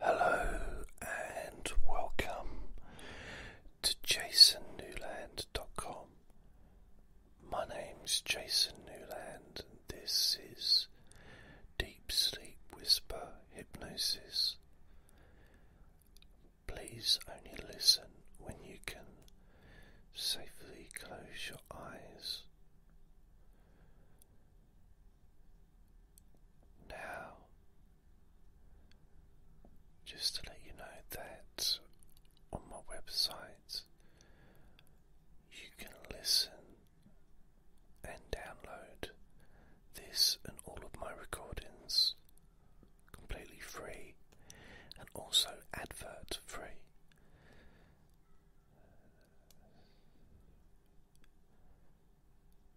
Hello and welcome to jasonnewland.com. My name's Jason Newland this is Deep Sleep Whisper Hypnosis. Please only listen when you can safely close your eyes. Now, just to let you know that on my website you can listen and download this and all of my recordings completely free and also advert free.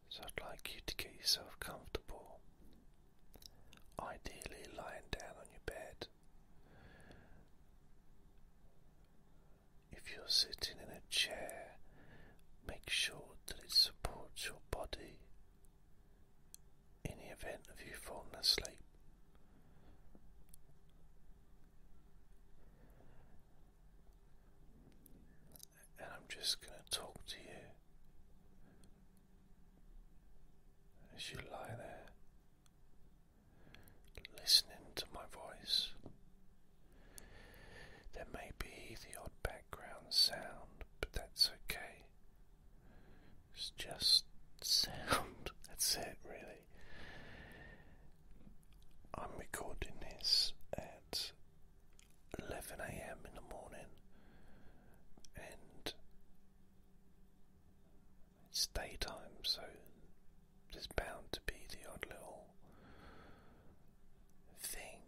So I'd like you to get yourself comfortable, ideally lying down on your bed. If you're sitting in a chair, make sure that it supports your body in the event of you falling asleep and I'm just going to talk to you as you lie there, listening to my voice. There may be the odd background sound, but that's okay. It's just sound, that's it, really. I'm recording this at 11 a.m. in the morning and it's daytime, so there's bound to be the odd little thing.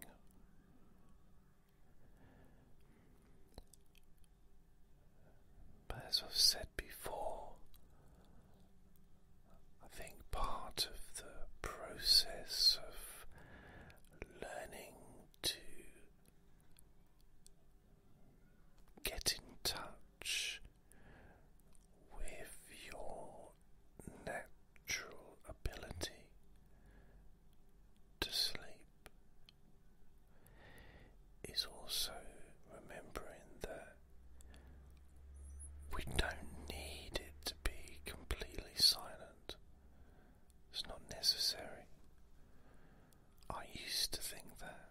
But as I've said before, I think part of the process of learning to get in touch with your natural ability to sleep is also remembering that we don't need it to be completely silent. It's not necessary. I used to think that.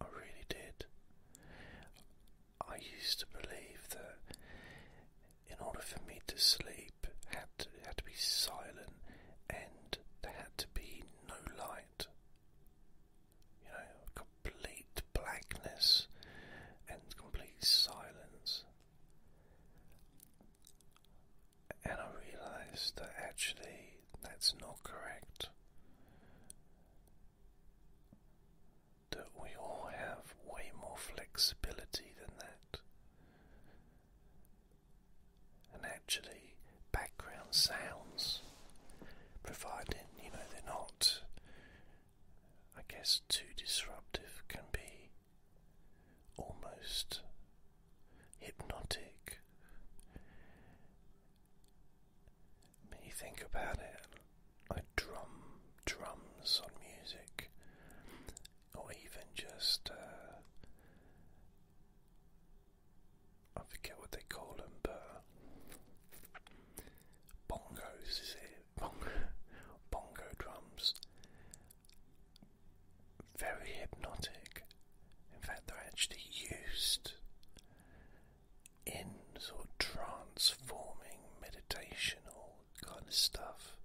I really did. I used to believe that in order for me to sleep, had had to be silent and there had to be no light. You know, complete blackness and complete silence. And I realized that actually that's not correct. That we all have way more flexibility than that. And actually, background sounds, providing you know they're not I guess too disruptive can be almost hypnotic. you think about it, like drum drums on music, or even just uh, I forget what they call them, but bongos is bongo, drums. Very hypnotic. In fact, they're actually used in sort of transforming meditational kind of stuff.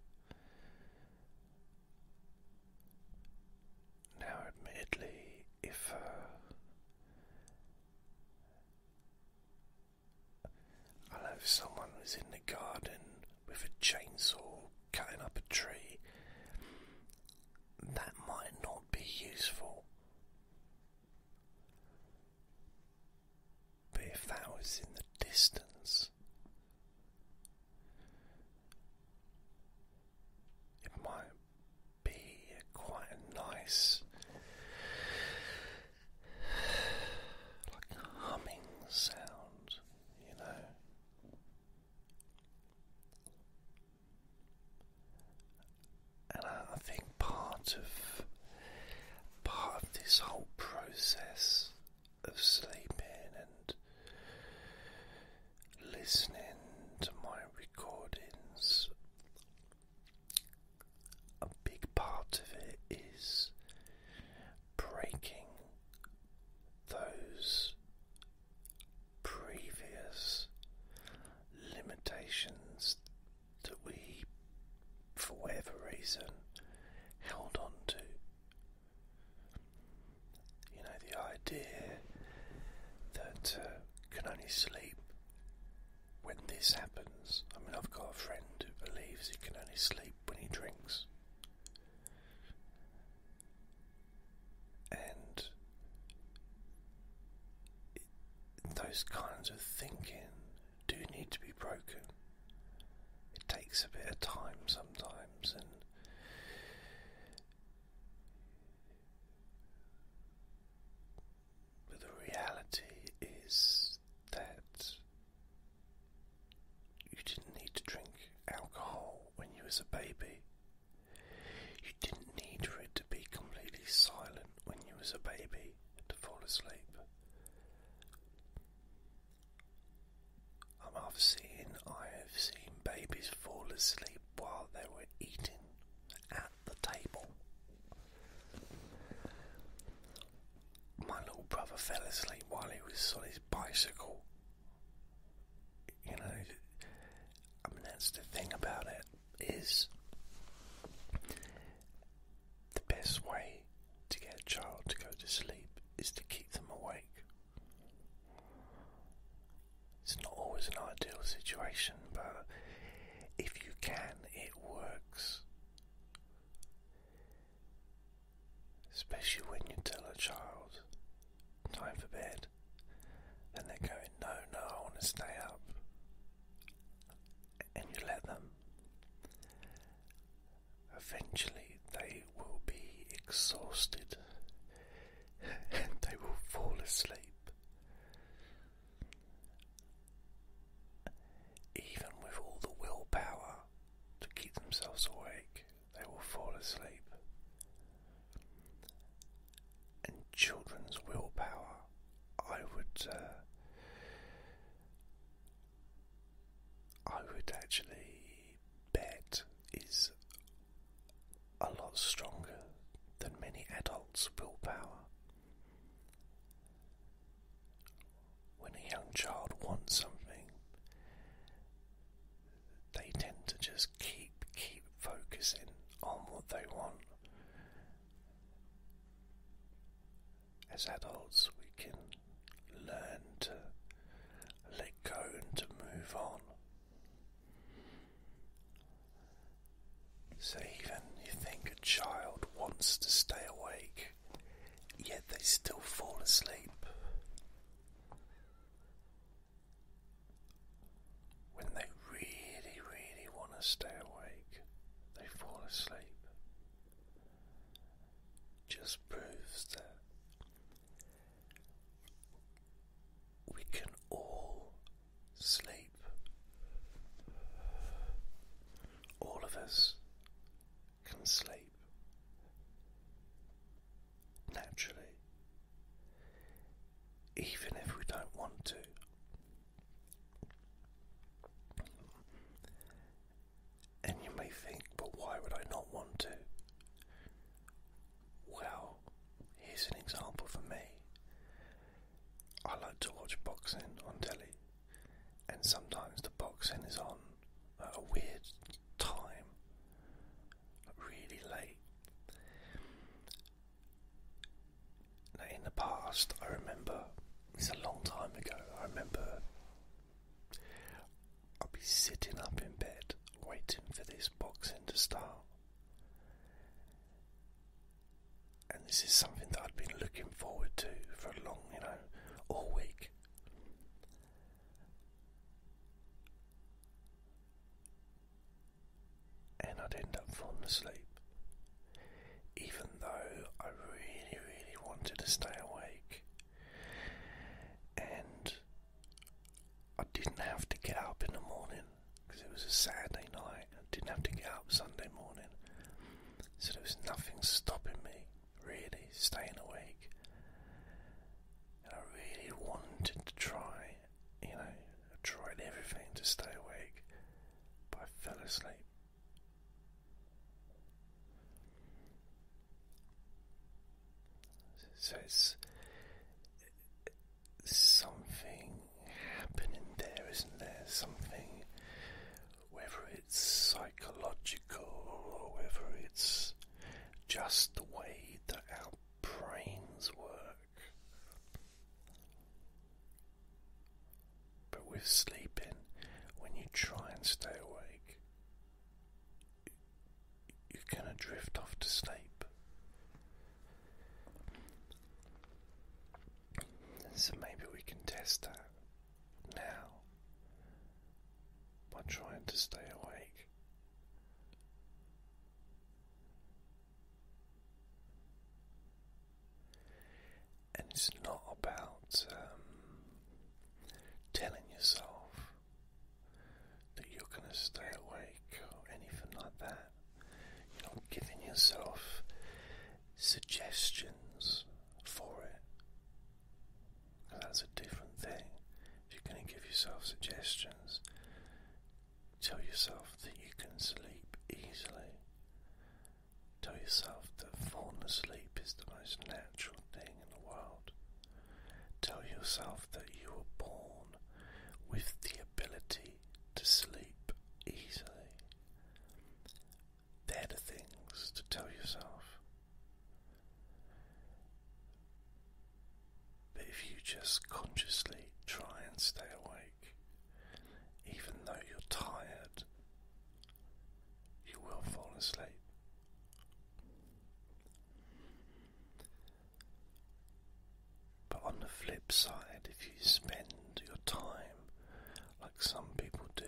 Now, admittedly, if uh, I know someone was in the garden with a chainsaw cutting up a tree. That might not be useful. But if that was in the distance, it might be quite a nice like humming sound, you know. And I, think part of part of this whole process of sleeping and listening to my recordings a big part of it is breaking those previous limitations that we, for whatever reason, held on to. You know, the idea that uh, can only sleep when this happens. I mean, I've got a friend who believes he can only sleep when he drinks. And those kinds of thinking do need to be broken. It takes a bit of time sometimes, and but the reality is that you didn't need to drink alcohol when you was a baby. You didn't need for it to be completely silent when you was a baby to fall asleep. Um, I've seen I have seen babies fall asleep while they were eating at the table my little brother fell asleep while he was on his bicycle. You know, I that's the thing about it is the best way to get a child to go to sleep is to keep them awake. It's not always an ideal situation, but if you can, it works. Especially when you tell a child, time for bed, and they're going, no, no, I want to stay up. And you let them. Eventually, they will be exhausted and they will fall asleep. Even with all the willpower to keep themselves awake, they will fall asleep. And children's willpower, I would, uh, I would actually bet is a lot stronger than many adults' willpower. When a young child wants something, they tend to just keep keep focusing on what they want. As adults, we can learn to let go and to move on. So, even you think a child wants to stay awake, yet they still fall asleep. When they really, really want to stay awake, they fall asleep. Just proves that we can all sleep. All of us can sleep naturally, even if we don't want to. And you may think, but why would I not want to? Well, here's an example for me. I like to watch boxing on telly and sometimes the boxing is on at a weird time, really late. Now, in the past, I remember it's a long time ago. I remember I'd be sitting up in bed waiting for this boxing to start. And this is something that I'd been looking forward to for a long, you know, all week and I'd end up falling asleep, even though I really, really wanted to stay awake, and I didn't have to get up in the morning because it was a Saturday night. I didn't have to get up Sunday morning, so there was nothing stopping me really staying awake. And I really wanted to try, you know, I tried everything to stay awake, but I fell asleep. So it's something happening there, isn't there? Something whether it's psychological or whether it's just the way that our brains work. But with sleeping, when you try and stay awake, you're going to drift off to sleep. So maybe we can test that now by trying to stay awake. And it's not about um, telling yourself that you're going to stay awake or anything like that. You're not giving yourself suggestions for it that's a different thing. If you're going to give yourself suggestions, tell yourself that you can sleep easily. Tell yourself that falling asleep is the most natural thing in the world. Tell yourself that you were born with the ability to sleep easily. They're the things to tell yourself. But if you just consciously try and stay awake, even though you're tired, you will fall asleep. But on the flip side, if you spend your time like some people do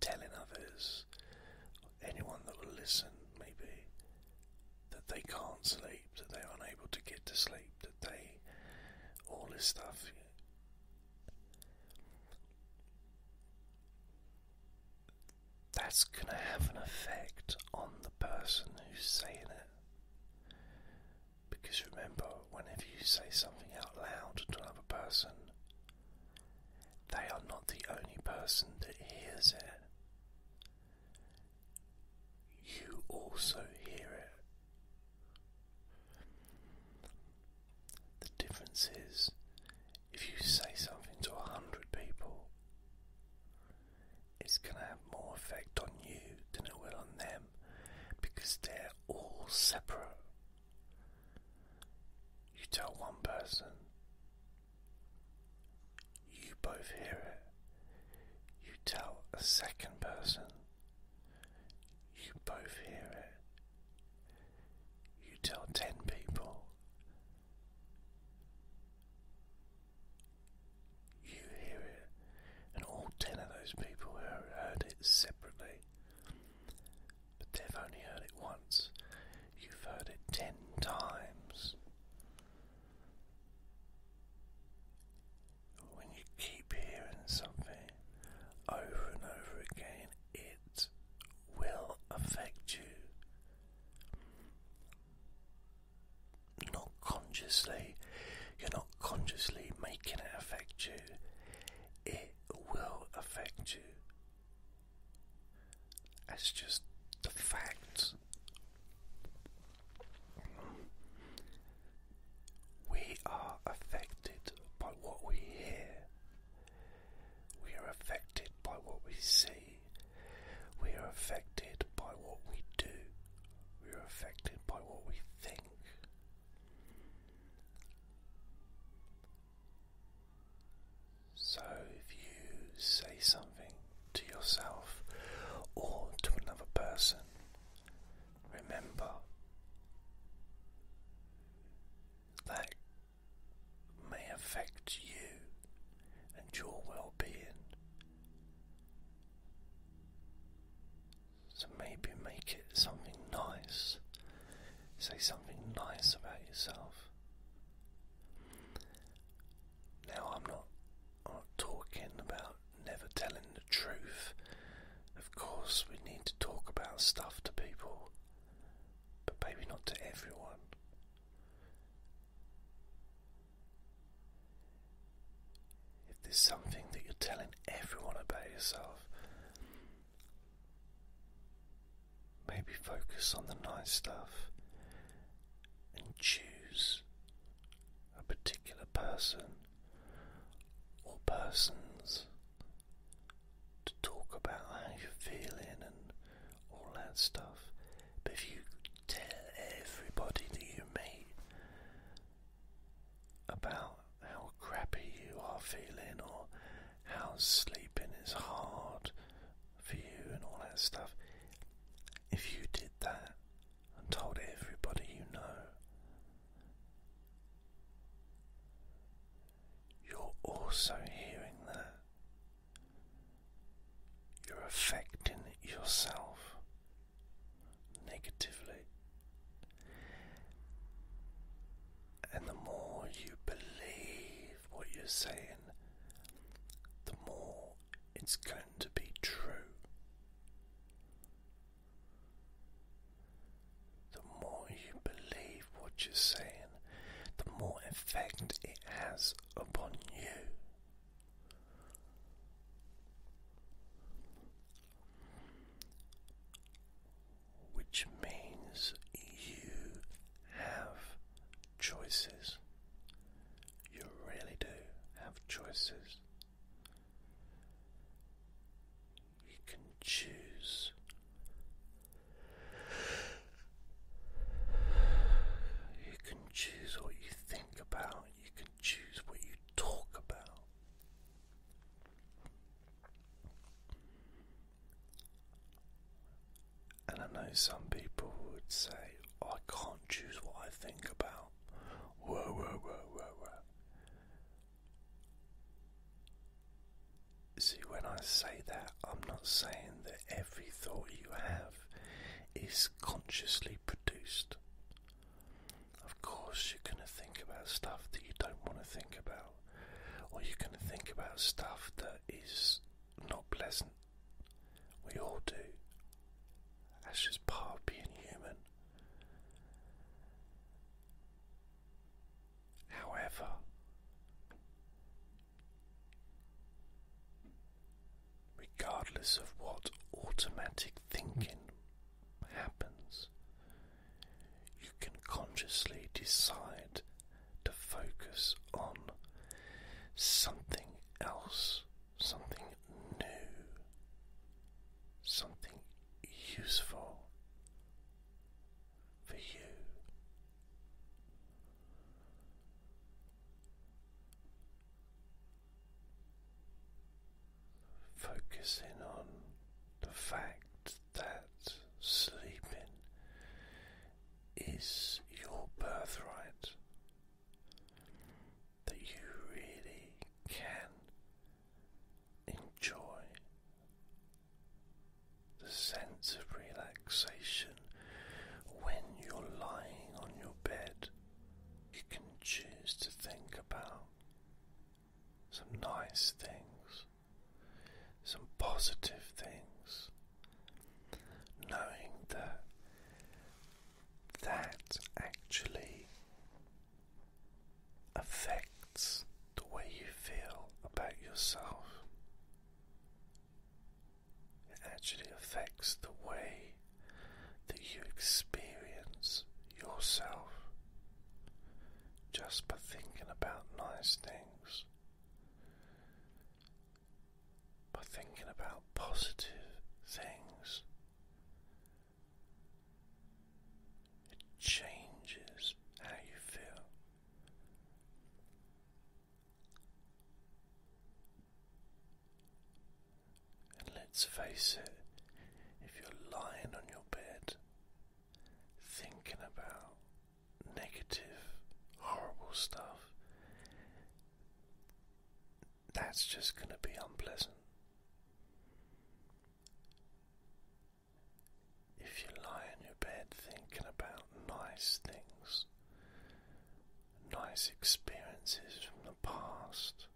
telling others, anyone that will listen, maybe, that they can't sleep, that they're unable to get to sleep, that they. all this stuff. That's going to have an effect on the person who's saying it. Because remember, whenever you say something out loud to another person, they are not the only person that hears it. You also hear it. The difference is if you say something to a hundred people, it's going to have more effect on you than it will on them because they're all separate. You tell one person, you both hear it. You tell a second person, you both hear it. You tell ten people, you hear it, and all ten of those people heard it separately but they've only heard it once. You've heard it ten times. When you keep hearing something over and over again, it will affect you. Not consciously, you're not consciously making it affect you, it will affect you. That's just the facts. We are affected by what we hear. We are affected by what we see. We are affected by what we do. We are affected by what we think. So if you say something to yourself or to another person, remember that may affect you and your well being. So maybe make it something nice. Say something nice about yourself. Now, I'm not, talking about never telling the truth. Of course, we need to talk about stuff to people, but maybe not to everyone. If there's something that you're telling everyone about yourself, Maybe focus on the nice stuff and choose a particular person or persons to talk about how you're feeling and all that stuff. But if you tell everybody that you meet about how crappy you are feeling or how sleeping is hard for you and all that stuff. If you did that and told everybody you know, you're also hearing that. You're affecting yourself negatively. And the more you believe what you're saying, the more it's going to be true. The more you believe what you're saying, the more effect it has upon you which means you have choices. You really do have choices. You can choose. You can choose what you think about. You can choose what you talk about. And I know some people would say, I can't choose what I think about. Whoa, whoa, whoa, whoa, whoa. See, when I say that, I'm not saying that every thought you have is consciously produced. Of course, you're going to think about stuff that you don't want to think about, or you're going to think about stuff that is not pleasant. We all do. That's just part of being human. However, regardless of what automatic thinking happens, you can consciously decide to focus on something else, something new, something useful for you. Focusing on the fact that sleeping is your birthright. That you really can enjoy the sense of relaxation when you're lying on your bed. You can choose to think about some nice things some positive things, knowing that that actually affects the way you feel about yourself. It actually affects the way that you experience yourself just by thinking about nice things by thinking about positive things. It changes how you feel. And let's face it, if you're lying on your bed thinking about negative, horrible stuff, that's just going to be unpleasant. If you lie in your bed thinking about nice things, nice experiences from the past,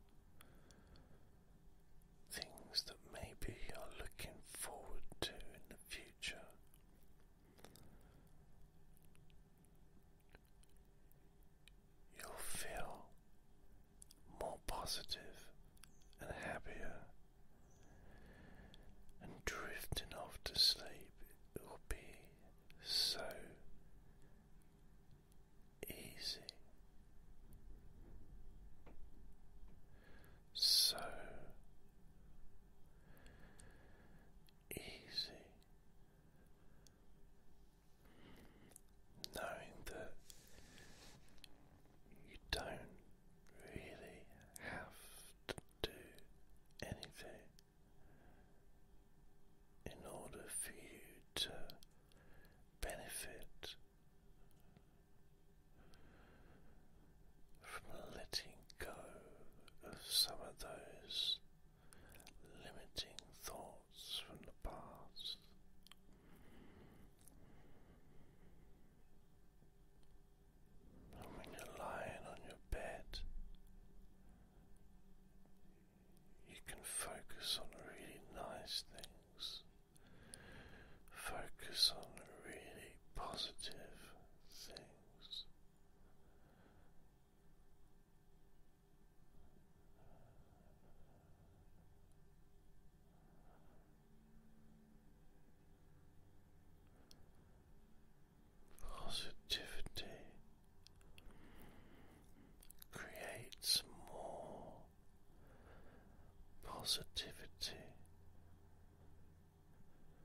things that maybe you're looking forward to in the future, You'll feel more positive and happier, and drifting off to sleep will be so easy, so easy, knowing that you don't really have to do anything in order for you to benefit from letting go of some of those limiting thoughts from the past. And when you're lying on your bed, you can focus on really nice things, focus on really positive things. Positivity creates more positivity.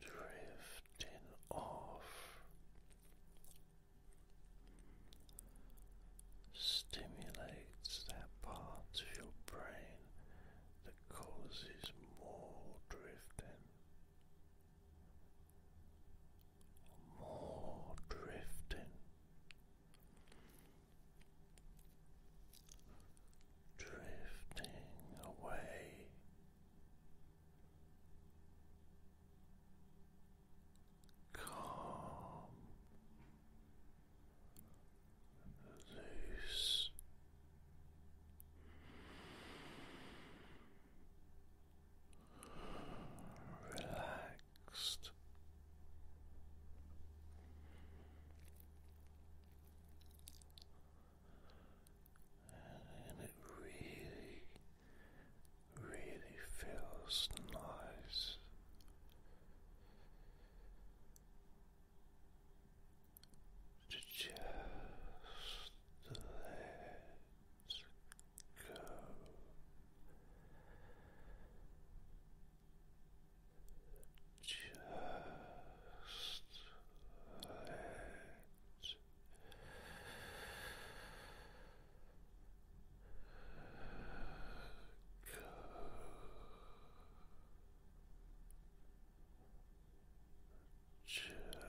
drifting off, stimulates that part of your brain that causes more drifting, more drifting. Drifting away Calm, loose. Relaxed, and it really, really feels nice. To just let go. Just let just let